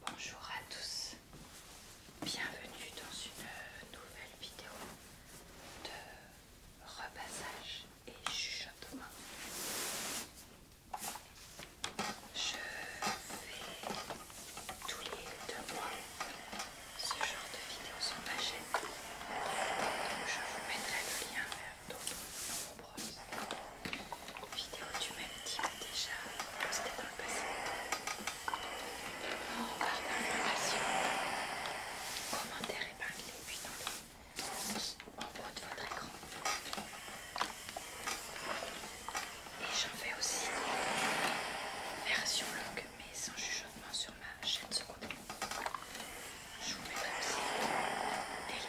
Bonjour à tous, bienvenue dans une nouvelle vidéo de repassage et chuchotement. Je fais tous les deux mois ce genre de vidéos sur ma chaîne, je vous mettrai le lien vers d'autres vidéo du même type déjà postée dans le passé. On part commentaires épinglés, puis dans le en haut de votre écran. Et j'en fais aussi version longue, mais sans chuchotement sur ma chaîne secondaire. Je vous mettrai aussi des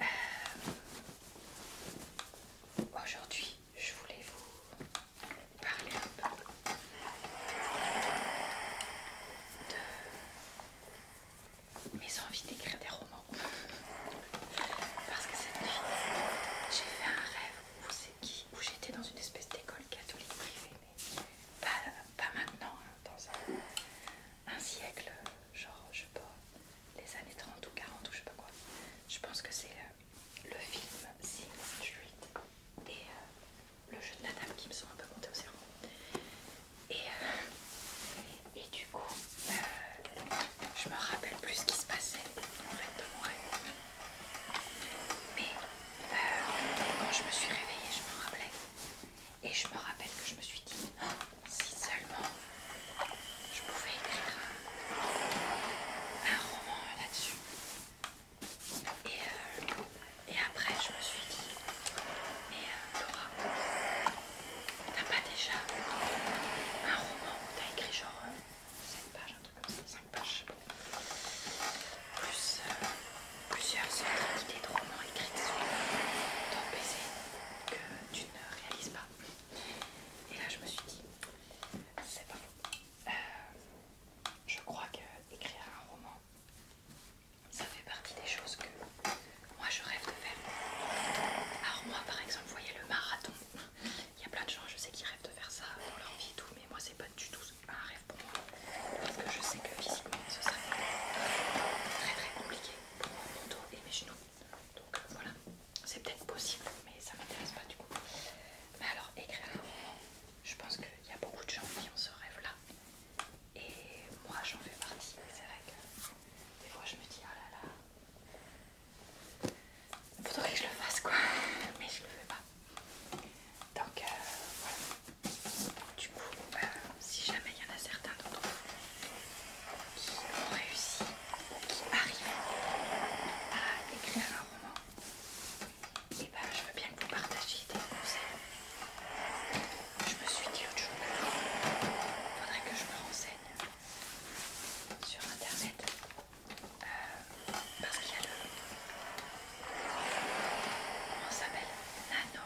liens. Euh, aujourd'hui je voulais vous parler un peu de mes envies d'écrire des romans. Parce que cette nuit, j'ai fait un rêve où, où j'étais dans une espèce d'école catholique privée, mais pas, maintenant, hein, dans un, un siècle, genre je sais pas, les années 30 ou 40 ou je sais pas quoi. Je pense que c'est euh, le, film 68 et euh, le jeu de la dame qui me sont un peu montés au cerveau. Et, euh, et du coup, je me rappelle plus ce qui se passait en fait de mon rêve. Mais quand je me suis réveillée, je me rappelais. Et je me rappelle que je me suis dit, si seulement je pouvais écrire un roman là-dessus. Et, euh, après, je me suis dit, mais Dora, euh, Laura, t'as pas déjà un roman où t'as écrit genre 7 euh, pages, un truc comme ça, 5 pages, Plus plusieurs centaines d'idées de romans écrites sur ton PC que tu ne réalises pas. Et là, je me suis dit, c'est pas bon. Euh, je crois qu'écrire un roman, ça fait partie des choses que moi je rêve de faire. Alors, moi par exemple, vous voyez le marathon, il y a plein de gens, je sais, qu'ils rêvent de faire ça dans leur vie et tout, mais moi c'est pas du tout un rêve pour moi parce que je sais que physiquement ce serait très très compliqué pour mon dos et mes genoux. Donc euh, voilà, c'est peut-être possible, mais ça m'intéresse pas du coup. Mais alors, écrire je pense qu'il y a beaucoup de gens qui ont ce rêve-là. Et moi, j'en fais partie. C'est vrai que des fois, je me dis, oh là là. Faudrait que je le fasse quoi, mais je le fais pas. Donc euh, voilà. Du coup, euh, si jamais il y en a certains d'entre vous qui ont réussi, qui arrivent à écrire un roman, et eh bah ben, je veux bien que vous partagiez des conseils. Je me suis dit autre chose, il faudrait que je me renseigne sur internet euh, parce qu'il y a le. Comment ça s'appelle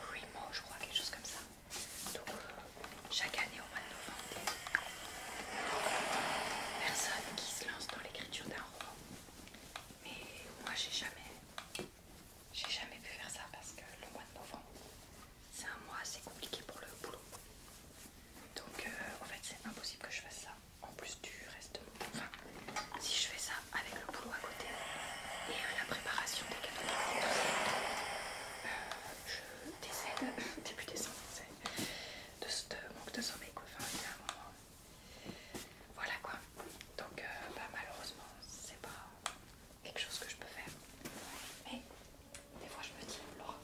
Remo je crois, quelque chose comme ça. Euh, chaque année au mois de novembre. Personne qui se lance dans l'écriture d'un roman. Mais moi j'ai jamais j'ai jamais pu faire ça parce que le mois de novembre, c'est un mois assez compliqué pour le boulot. Donc euh, en fait c'est impossible que je fasse ça. En plus du reste. si je fais ça avec le boulot à côté et euh, la préparation des cadeaux, euh, je décède début décembre de, ce manque de sommeil quoi. Enfin, il un moment. Voilà quoi. Donc euh, bah, malheureusement c'est pas quelque chose que je peux faire. Mais des fois je me dis, alors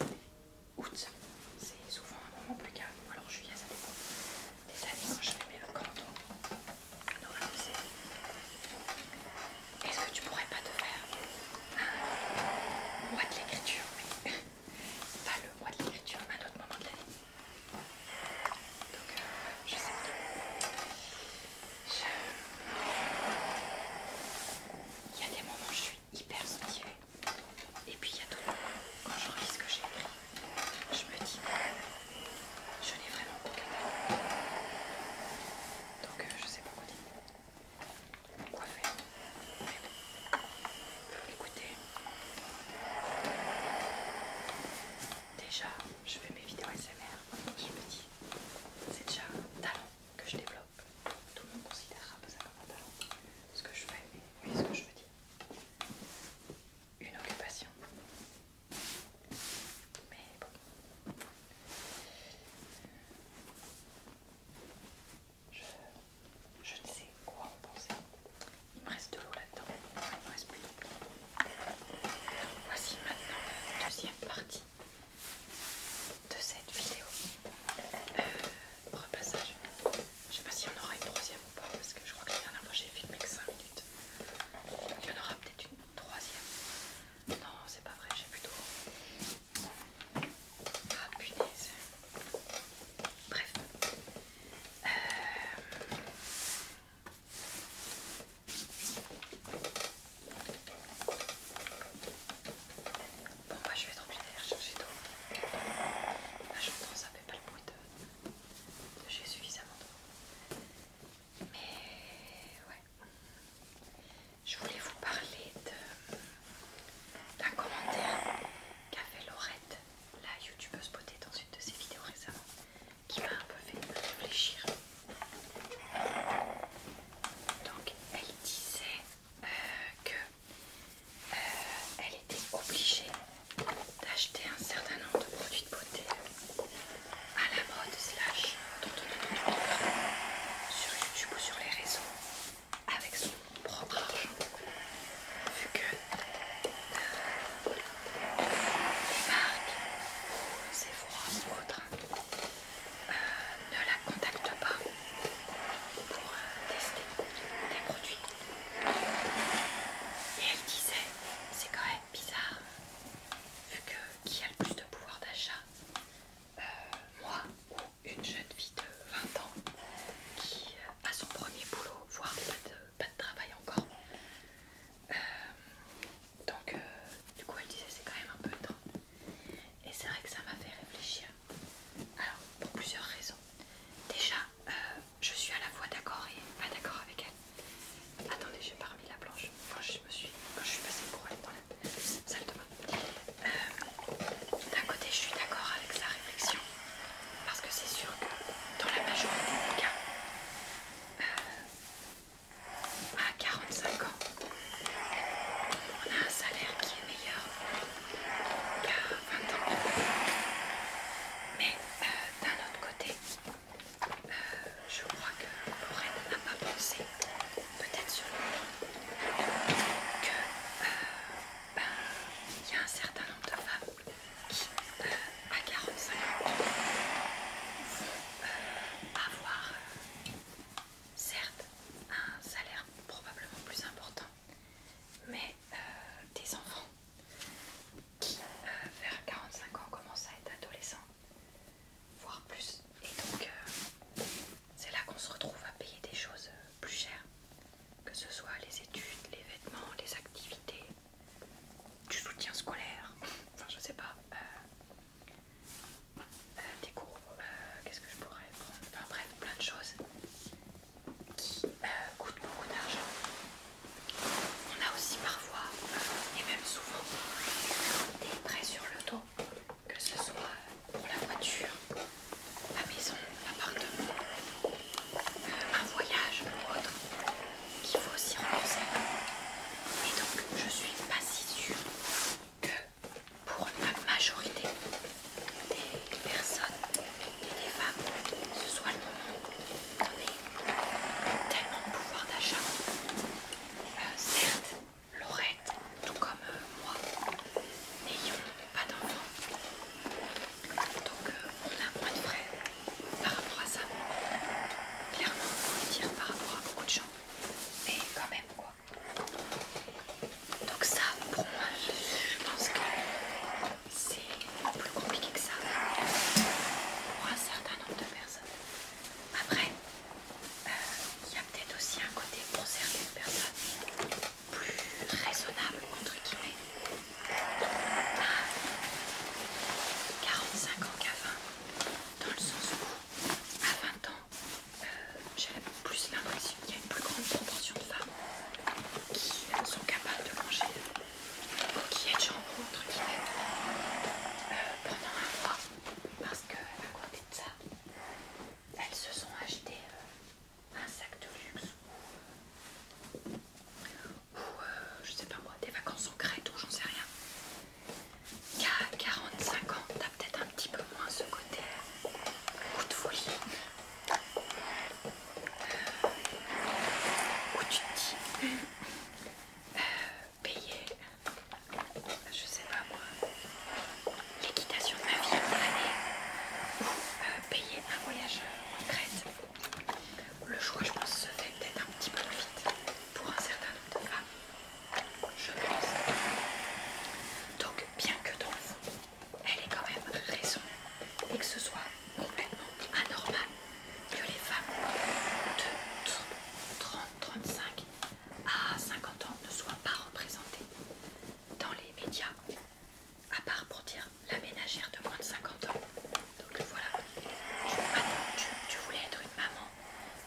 oh août, c'est souvent un moment plus calme. Alors juillet ça dépend. Des années quand je fais mes vacances, est-ce que tu pourrais pas te faire un mois de l'écriture pas le mois de l'écriture, un autre moment de la vie Donc euh, je sais pas. Je... Il y a des moments où je suis hyper motivée. Et puis il y a d'autres moments, quand je relis ce que j'ai écrit, je me dis, je n'ai vraiment aucun temps. Donc euh, je sais pas quoi dire coiffé. Écoutez, déjà, je fais mes vidéos SMR. Je me dis, c'est déjà un talent que je développe. Tout le monde considérera ça comme un talent. Ce que je fais, oui, ce que je veux dire. Une occupation. Mais bon. Je, ne sais quoi en penser. Il me reste de l'eau là-dedans. Il me reste plus Voici maintenant la deuxième partie de cette vidéo. Euh, repassage. Je ne sais pas si on aura une troisième ou pas, parce que je crois que la dernière fois j'ai filmé que 5 minutes. Il y en aura peut-être une troisième. Non, c'est pas vrai, j'ai plutôt ah punaise. Bref. Euh, bon moi bah, je vais être obligée aller chercher d'eau. Ah, pense que ça fait pas le bruit de... J'ai suffisamment d'eau. Mais ouais je voulais vous parler d'un commentaire qu'a fait Laurette, la youtubeuse beauté dans une de ses vidéos récemment, qui m'a un peu fait réfléchir. Donc elle disait euh, que euh, elle était obligée d'acheter un certain nombre de produits de beauté à la mode sur YouTube ou sur les réseaux avec son propre argent vu que Marc les marques Sephora ou autres euh, ne la contactent pas pour euh, tester des produits et elle disait c'est quand même bizarre vu que qui a le plus de pouvoir d'achat euh, moi ou une jeune fille de 20 ans qui euh, a son premier boulot, voire pas de, travail encore. Euh, donc, du coup, elle disait c'est quand même un peu étrange. Et c'est vrai que ça m'a fait réfléchir. Alors, pour plusieurs raisons. Déjà, je suis à la fois d'accord et pas d'accord avec elle. Attendez, j'ai pas remis la planche. je me suis, quand je suis passée pour aller dans la salle de euh, d'un côté, je suis d'accord avec sa réflexion, parce que c'est sûr que dans la majorité des cas, euh, à 45 ans, on a un salaire qui est meilleur qu'à 20 ans. Mais euh, d'un autre côté, je crois que Lorraine n'a pas pensé peut-être sur le point que euh, ben, il y a un certain nombre de femmes qui, à 45 ans, vont avoir, euh, certes, un salaire probablement plus important, mais euh, des enfants qui, vers 45 ans, commencent à être adolescents, voire plus. Et donc, c'est là qu'on se retrouve à payer des choses euh, plus chères, que ce soit les études, les vêtements, les activités, du soutien scolaire, enfin je sais pas, euh, euh, des cours, qu'est-ce que je pourrais prendre, enfin bref, plein de choses qui coûtent beaucoup d'argent. On a aussi parfois, et même souvent, des prêts sur le dos que ce soit pour la voiture, la maison, l'appartement, euh, un voyage ou autre, qu'il faut aussi rembourser. Et donc je suis pas si sûre que pour la majorité des personnes et des femmes, ce soit le moment on tellement tellement pouvoir d'achat. Euh, certes, Lorette, tout comme euh, moi, n'ayons pas d'enfants. Donc euh, on a moins de par rapport à ça. Clairement, on le dire par rapport à beaucoup de gens. Mais quand même quoi. Donc ça, pour moi, je pense que c'est plus compliqué que ça pour un certain nombre de personnes. Après, il y a peut-être aussi un côté pour certaines personnes plus raisonnable entre guillemets. 45 ans qu'à 20, dans le sens où à 20 ans, euh, j'ai plus l'impression qu'il y a une plus grande proportion de femmes qui sont capables de manger ou qui est de jambon entre guillemets euh, pendant un mois parce qu'à côté de ça, elles se sont achetées euh, un sac de luxe ou, euh, je sais pas moi, des vacances en crête, ou j'en sais rien. Qu'à 45 ans, t'as peut-être un petit peu moins ce côté coup euh, de folie. où tu dis payer je sais pas moi, l'équitation de ma vie, ou euh, payer un voyage euh, en Grèce, Le choix, je pense, se peut-être un petit peu vite pour un certain nombre de femmes, je pense. Donc, bien que dans elle ait quand même raison et que ce soit complètement anormal que les femmes de 30, 35 à 50 ans ne soient pas représentées dans les médias, à part pour dire la ménagère de moins de 50 ans. Donc voilà, tu, voulais être une maman,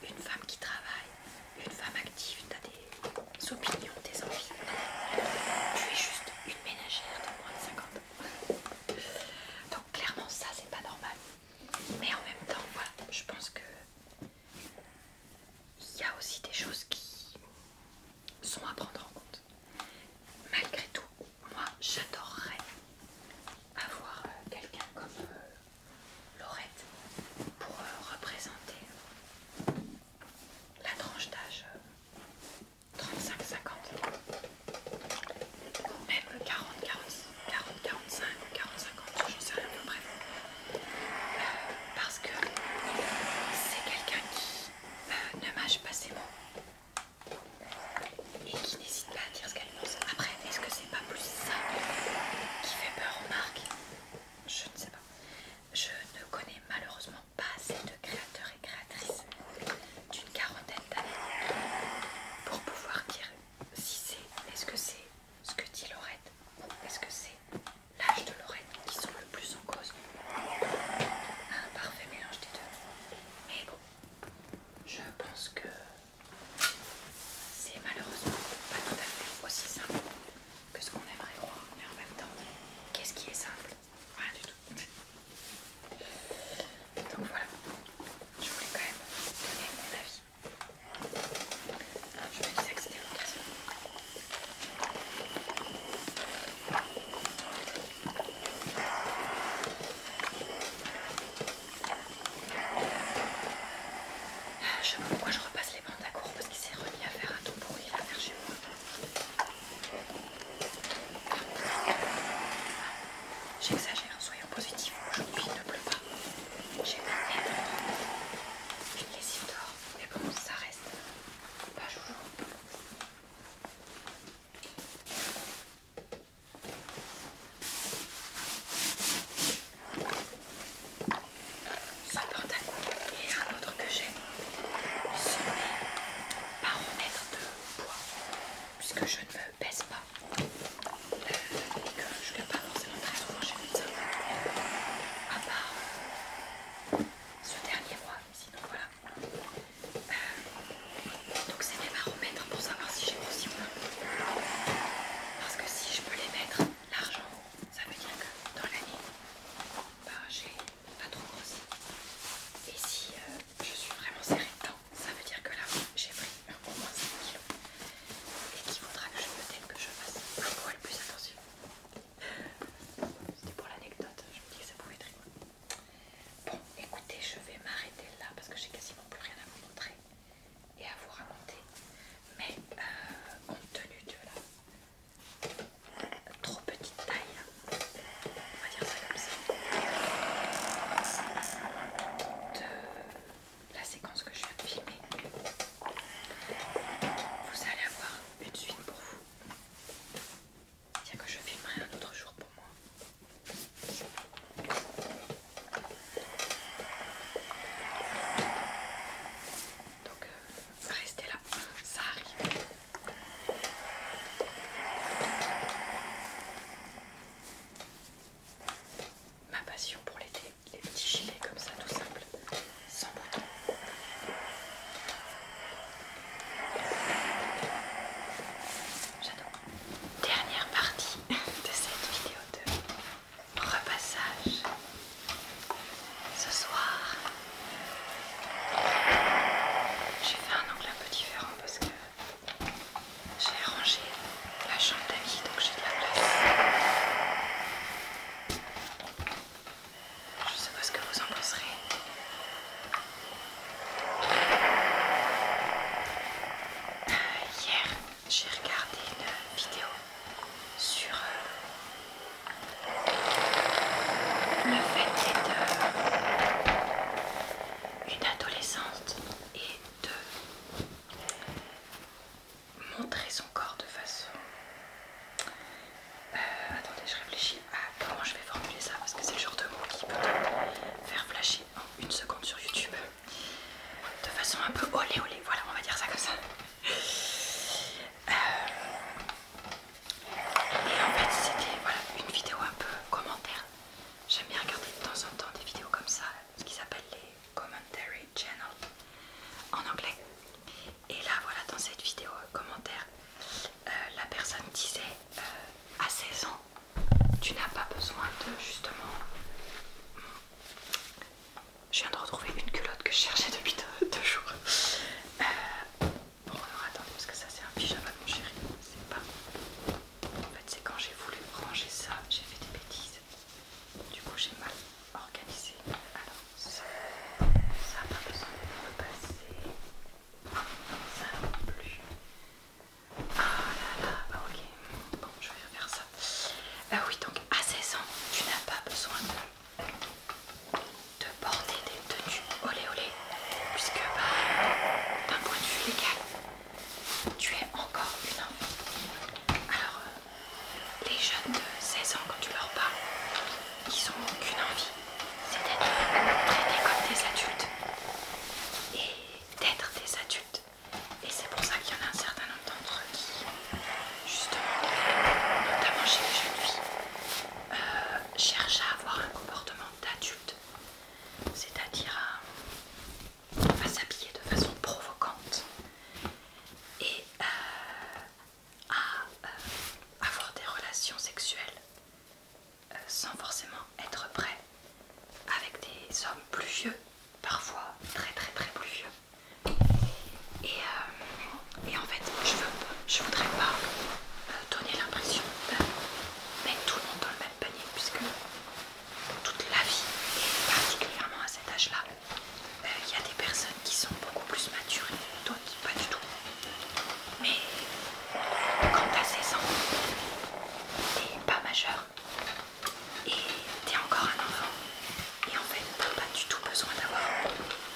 une femme qui travaille, une femme active, tu as des opinions, des envies. Tu es juste une ménagère de moins de 50 ans. Donc clairement, ça c'est pas normal. Mais en même temps, voilà, je pense que il y a aussi des choses qui sont à prendre en compte. Malgré tout, moi j'adorerais avoir euh, quelqu'un comme euh, Laurette pour euh, représenter la tranche d'âge 35-50 même 40-45 40, 45 ou 40-50, ne sais rien à peu près parce que c'est quelqu'un qui euh, ne mâche pas ses mots et qui n'hésite pas à dire ce qu'elle pense. Après, est-ce que c'est pas plus ça qui fait peur aux marques Je ne sais pas. Je ne connais malheureusement pas assez de créateurs et créatrices d'une quarantaine d'années pour pouvoir dire si c'est, est-ce que c'est ce que dit Laurette ou est-ce que c'est l'âge de l'oreille qui sont le plus en cause. Un parfait mélange des deux. Mais bon, je pense que c'est malheureusement pas tout à fait aussi simple que ce qu'on aimerait croire. Mais en même temps, qu'est-ce qui est simple Rien du tout. Donc voilà, je voulais quand même donner mon avis. Je me disais que c'était je vois pourquoi je repasse les bandes à court parce qu'il s'est remis à faire un tout pourri la mer chez moi. J'exagère, soyons positifs. Aujourd'hui, il ne pleut pas. J'ai une lessive d'or, mais bon, ça reste pas toujours. Ça porte Il y et un autre que j'ai, ce par pas remettre de bois. puisque je ne me baisse pas euh, et que je ne vais pas forcément très souvent chez le à part ce dernier mois. donc voilà. Euh, donc, c'est mes baromètres pour savoir si j'ai grossi ou non. Parce que si je peux les mettre, l'argent, ça veut dire que dans l'année, ben, j'ai pas trop grossi. Et si euh, je suis vraiment serrée dedans, ça veut dire que là, j'ai pris au moins 5 kilos. Et qui faudra que je peut que je fasse un le plus attention. C'était pour l'anecdote, je me dis que ça pouvait être Bon, écoutez, je vais m'arrêter là parce que j'ai quasiment plus rien à vous montrer et à vous raconter. Mais euh, compte tenu de la trop petite taille, on va dire ça comme ça, de la séquence que je viens de filmer, vous allez avoir une suite pour vous. Tiens que je filmerai un autre jour pour moi. Donc euh, restez là, ça arrive. Ma passion pour l'été, les petits gilets comme ça, tout simple sans bouton. Dernière partie de cette vidéo de repassage. Ce soir, j'ai fait un angle un peu différent parce que j'ai rangé la chambre d'amis donc j'ai de la place. Je sais pas ce que vous en penserez. Hier, j'ai regardé une vidéo sur euh, le fait d'être euh, une adolescente et de montrer son corps de façon euh, attendez, je réfléchis à ah, comment je vais formuler ça parce que c'est le genre de mot qui peut faire flasher en une seconde sur YouTube de façon un peu olé olé. Voilà, on va dire ça comme ça. Euh, et en fait, c'était une vidéo un peu commentaire. J'aime bien regarder de temps en temps des vidéos comme ça, ce qu'ils appellent les commentary channels en anglais. Et là voilà dans cette vidéo euh, commentaire, euh, la personne disait euh, à 16 ans tu n'as pas besoin de justement... Je viens de retrouver une culotte que je cherchais depuis deux, jours. Bon alors attendez parce que ça c'est un pyjama mon chéri. C'est pas... En fait c'est quand j'ai voulu ranger ça, j'ai fait des bêtises. Du coup j'ai mal organisé. Alors, ça n'a pas besoin de passer Ça non plus. Ah là là, bah, ok. Bon, je vais faire ça. Ah oui, donc à 16 ans, tu n'as pas besoin de, porter des tenues olé olé, puisque bah, d'un point de vue légal, tu es encore une enfant. Alors, euh, les jeunes de 16 ans, quand tu leur parles, ils n'ont aucune envie, c'est d'être traités comme des adultes et d'être des adultes. Et c'est pour ça qu'il y en a un certain nombre d'entre eux qui, justement, notamment chez les jeunes filles, euh, cherchent à avoir un comportement d'adulte, c'est-à-dire à s'habiller de façon provocante et euh, à euh, avoir des relations sexuelles euh, sans forcément être prêt avec des hommes plus vieux, parfois très très très plus vieux. Et, euh, en fait, je, ne voudrais pas donner l'impression de mettre tout le monde dans le même panier puisque toute la vie, particulièrement à cet âge-là, il euh, y a des personnes qui sont beaucoup plus matures, d'autres pas du tout. Mais quand t'as 16 ans, t'es pas majeur et t'es encore un enfant. Et en fait, t'as pas du tout besoin d'avoir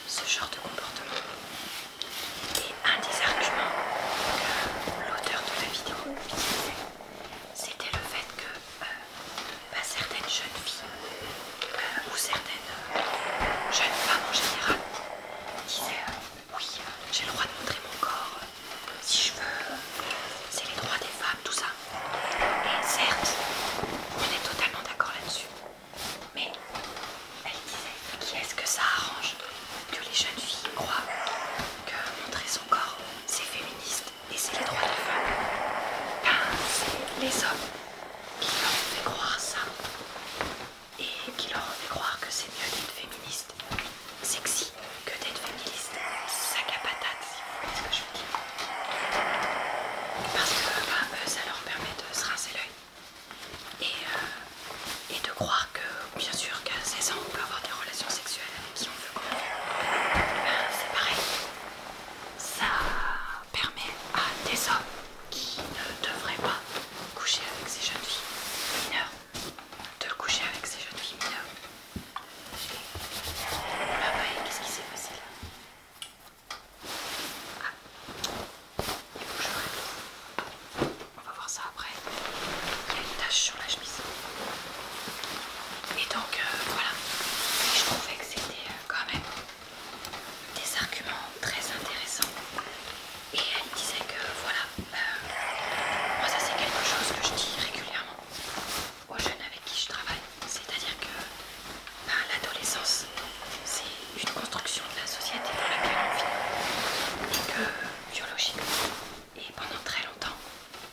ce genre de comportement. Et un des arguments que l'auteur de la vidéo utilisait, c'était le fait que euh, bah, certaines jeunes filles ou certaines euh, jeunes femmes en général disaient euh, oui, euh, j'ai le droit de montrer mon corps si je veux, c'est les droits des femmes, tout ça. Et certes, on est totalement d'accord là-dessus, mais elle disait qui est-ce que ça arrange que les jeunes filles croient que montrer son corps c'est féministe et c'est les droits des femmes Ben, c'est les hommes qui leur fait croire ça et qui leur fait croire que c'est mieux d'être féministe, sexy, que d'être féministe, sac à patate, si vous voyez ce que je veux dire. Parce que ça leur permet de se rincer l'œil et, de croire que, bien sûr, qu'à 16 ans, on peut avoir des relations sexuelles avec qui on veut. c'est pareil. Ça permet à des hommes qui ne devrait pas coucher avec ces jeunes filles mineures, de coucher avec ces jeunes filles mineures. Ah bah, qu'est-ce qui s'est passé là ah, il bouge On va voir ça après. Il y a une tache sur la chemise. Et donc euh, voilà, je trouvais que c'était euh, quand même des arguments très intéressants et elle disait que voilà, euh, moi ça c'est quelque chose que je dis régulièrement aux jeunes avec qui je travaille, c'est-à-dire que ben, l'adolescence c'est une construction de la société dans laquelle on vit et que biologiquement et pendant très longtemps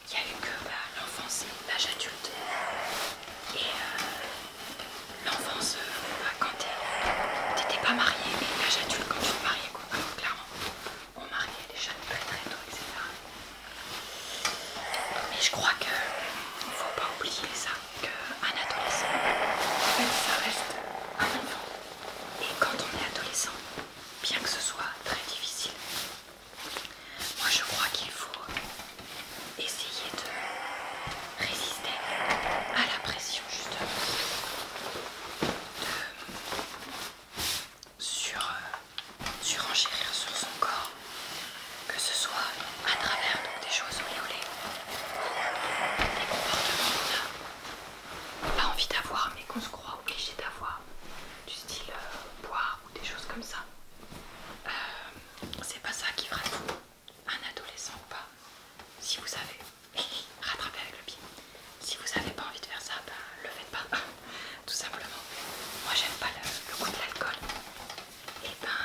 il n'y a eu que ben, l'enfance et l'âge adulte et euh, l'enfance euh, bah, quand quand euh, t'étais pas mariée et l'âge adulte quand tu te mariais quoi. clairement, on mariait les jeunes très très tôt, etc. Mais je crois qu'il ne faut pas oublier ça, qu'un adolescent, ça reste un enfant. Et quand on est adolescent, bien que ce soit très difficile, moi je crois qu'il faut essayer de résister à la pression justement de sur, euh, surenchérir sur son corps que ce soit à travers des choses miaulées ou des comportements qu'on n'a pas envie d'avoir mais qu'on se croit obligé d'avoir du style euh, boire ou des choses comme ça euh, c'est pas ça qui fera tout un adolescent ou pas, si vous avez rattrapez avec le pied, si vous n'avez pas envie de faire ça, ben le faites pas, tout simplement. Moi j'aime pas le, goût de l'alcool, et ben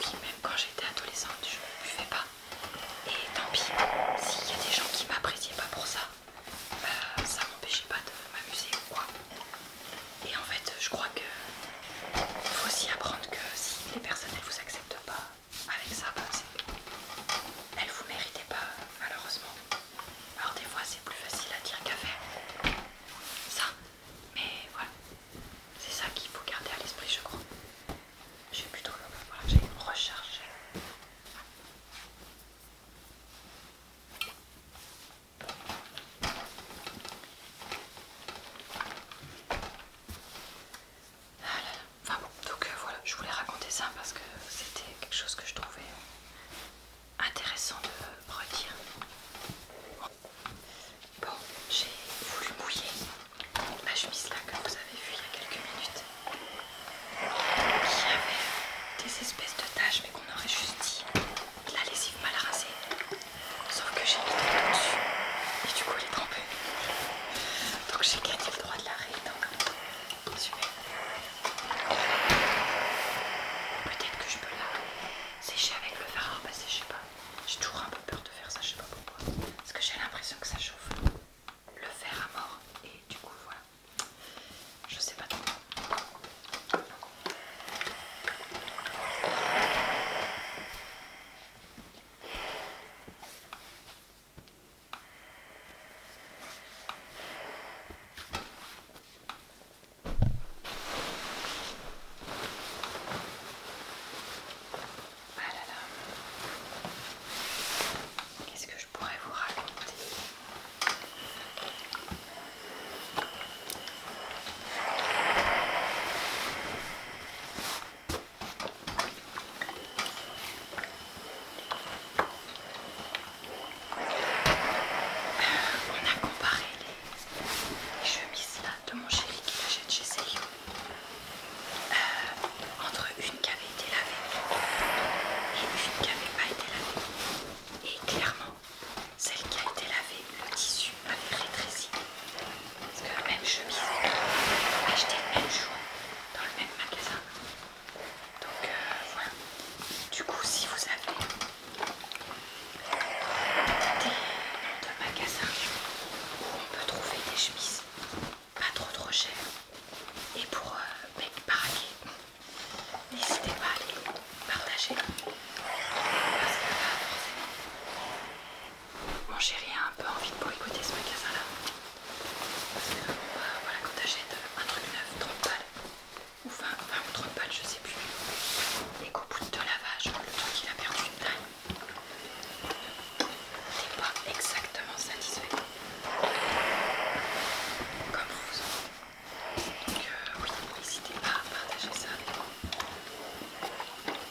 oui, même quand j'étais adolescente, je ne buvais pas, et tant pis, s'il y a des gens qui m'appréciaient pas pour ça, ben, ça m'empêchait pas de m'amuser quoi. Et en fait, je crois que il faut aussi apprendre que si les personnes ne vous acceptent pas avec ça, ben, elles ne vous méritaient pas, malheureusement. Alors des fois c'est plus facile à dire qu'à faire. Ça, mais voilà. C'est ça qu'il faut garder à l'esprit, je crois. J'ai plutôt euh, voilà, j'ai ah Enfin bon, donc euh, voilà, je voulais raconter ça parce que c'était quelque chose que je trouvais intéressant de redire. Bon, j'ai voulu mouiller ma chemise là que vous avez vu il y a quelques minutes. y avait des espèces de taches mais qu'on aurait juste dit la lessive mal rasée. Sauf que j'ai mis de l'eau dessus et du coup elle est trempée. Donc j'ai gagné le droit de l'arrêter Donc super. Peut-être que je peux la sécher avec le fer à repasser, ah, bah, je sais pas. J'ai toujours un peu peur de faire ça, je sais pas pourquoi. Parce que j'ai l'impression que ça chauffe le fer à mort et du coup voilà. Je sais pas trop. Qu'est-ce que je pourrais vous raconter on a comparé les, chemises de mon chéri qui l'achète chez Célio euh, entre une qui avait été lavée et une qui n'avait pas été lavée. Et clairement, celle qui a été lavée, le tissu suis pas Parce que même chemise vous pouvez acheter le même jour dans le même magasin. Donc euh, voilà. Du coup, si vous avez des magasins où on peut trouver des chemises pas trop trop chères et pour euh, mecs mec n'hésitez pas à les partager. Parce que là, forcément, mon chéri a un peu envie de boycotter ce magasin là. Parce que voilà, quand t'achètes un truc neuf, 30 balles, ou 20, ou 30 balles, je sais plus, et qu'au bout de lavage, le temps qu'il a perdu une taille, t'es pas exactement satisfait. Comme vous. Donc euh, oui, n'hésitez pas à partager ça avec moi. Et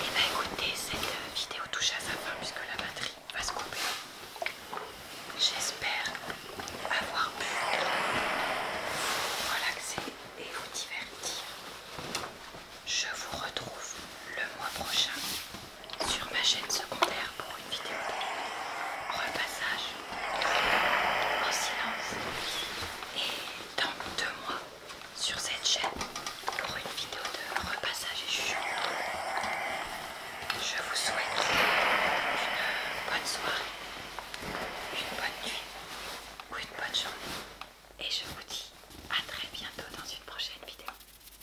eh bien écoutez, cette euh, vidéo touche à sa fin puisque la batterie va se couper. J'espère avoir pu vous relaxer et vous divertir. Je vous retrouve le mois prochain sur ma chaîne secondaire pour une vidéo de repassage en silence et dans deux mois sur cette chaîne pour une vidéo de repassage et Je vous souhaite une bonne soirée, une bonne nuit ou une bonne journée et je vous dis à très bientôt dans une prochaine vidéo.